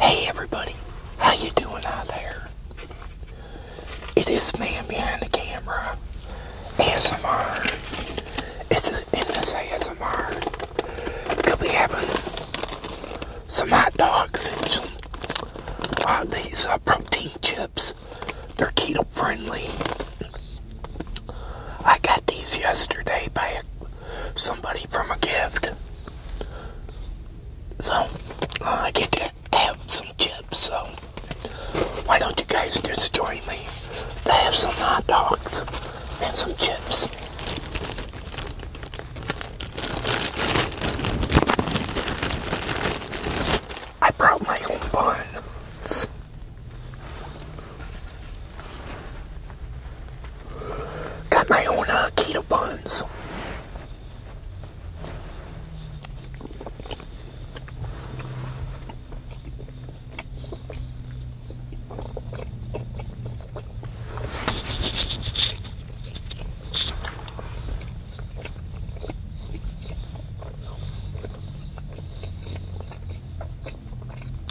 Hey everybody, how you doing out there? It is man behind the camera, ASMR. It's an NSA ASMR. Could be having some hot dogs these are uh, protein chips. They're keto friendly. I got these yesterday by somebody from a gift. So, uh, I get to have some chips, so why don't you guys just join me to have some hot dogs and some chips. I brought my own buns. Got my own uh, keto buns.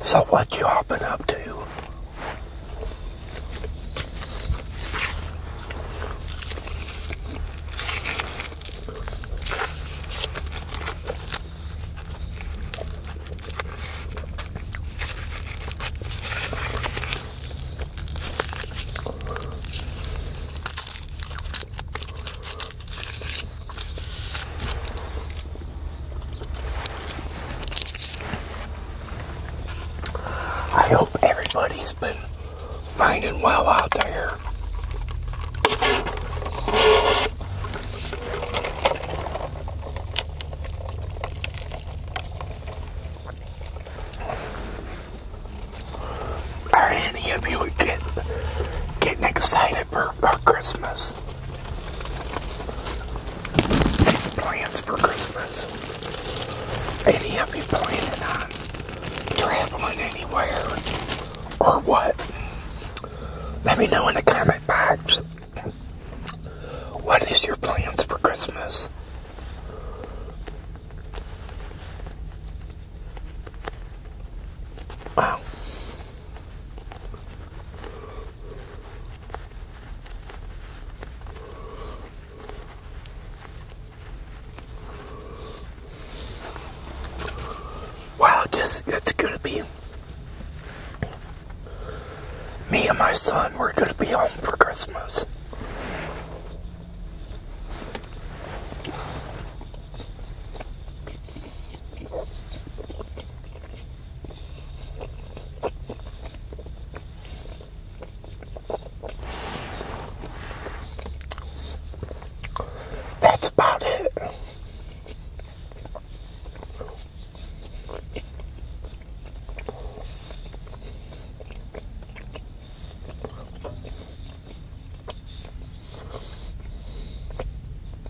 So what you all been up to? I hope everybody's been finding well out there. Are any of you get, getting excited for, for Christmas? plans for Christmas. Any of you planning on traveling anywhere or what? Let me know in the comment box. What is your plans for Christmas? Wow. Wow, just it's gonna be me and my son. We're gonna be home for Christmas. That's about it.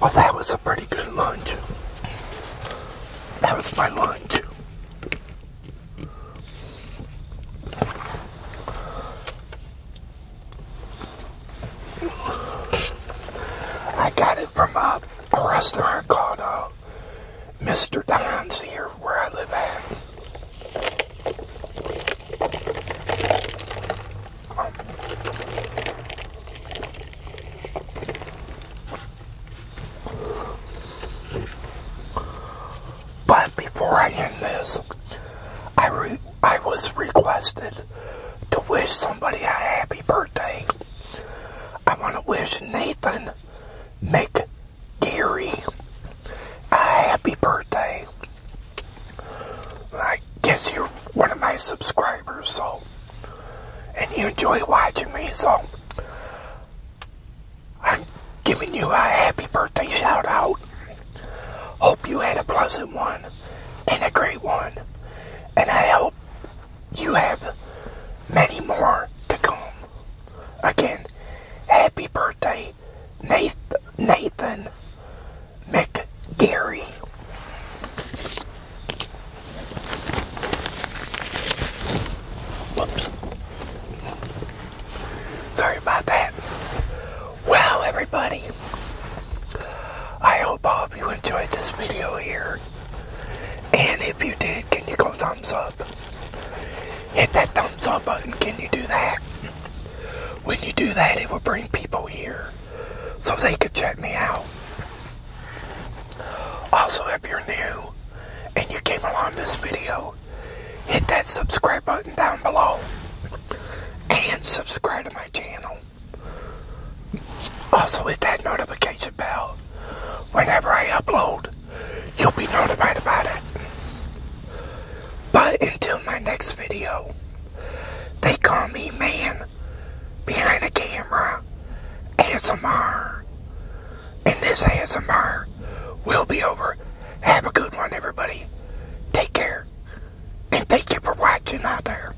Well, that was a pretty good lunch. That was my lunch. I got it from uh, a restaurant called uh, Mr. Don's here where I live at. but before I end this, I, I was requested to wish somebody a happy birthday. I want to wish Nathan Gary, a happy birthday. I guess you're one of my subscribers, so and you enjoy watching me, so I'm giving you a happy birthday shout out. Hope you had a pleasant one and a great one, and I hope you have many more to come. Again, happy birthday, Nathan, Nathan McGarry. Whoops. Sorry about that. Well, everybody, I hope all of you enjoyed this video here. And if you did, can you go thumbs up? Hit that thumbs up button. Can you do that? When you do that, it will bring people here so they could check me out. Also, if you're new and you came along this video, hit that subscribe button down below and subscribe to my channel. Also oh, hit that notification bell. Whenever I upload, you'll be notified about it. But until my next video, they call me man behind the camera ASMR. And this ASMR will be over. Have a good one, everybody. Take care. And thank you for watching out there.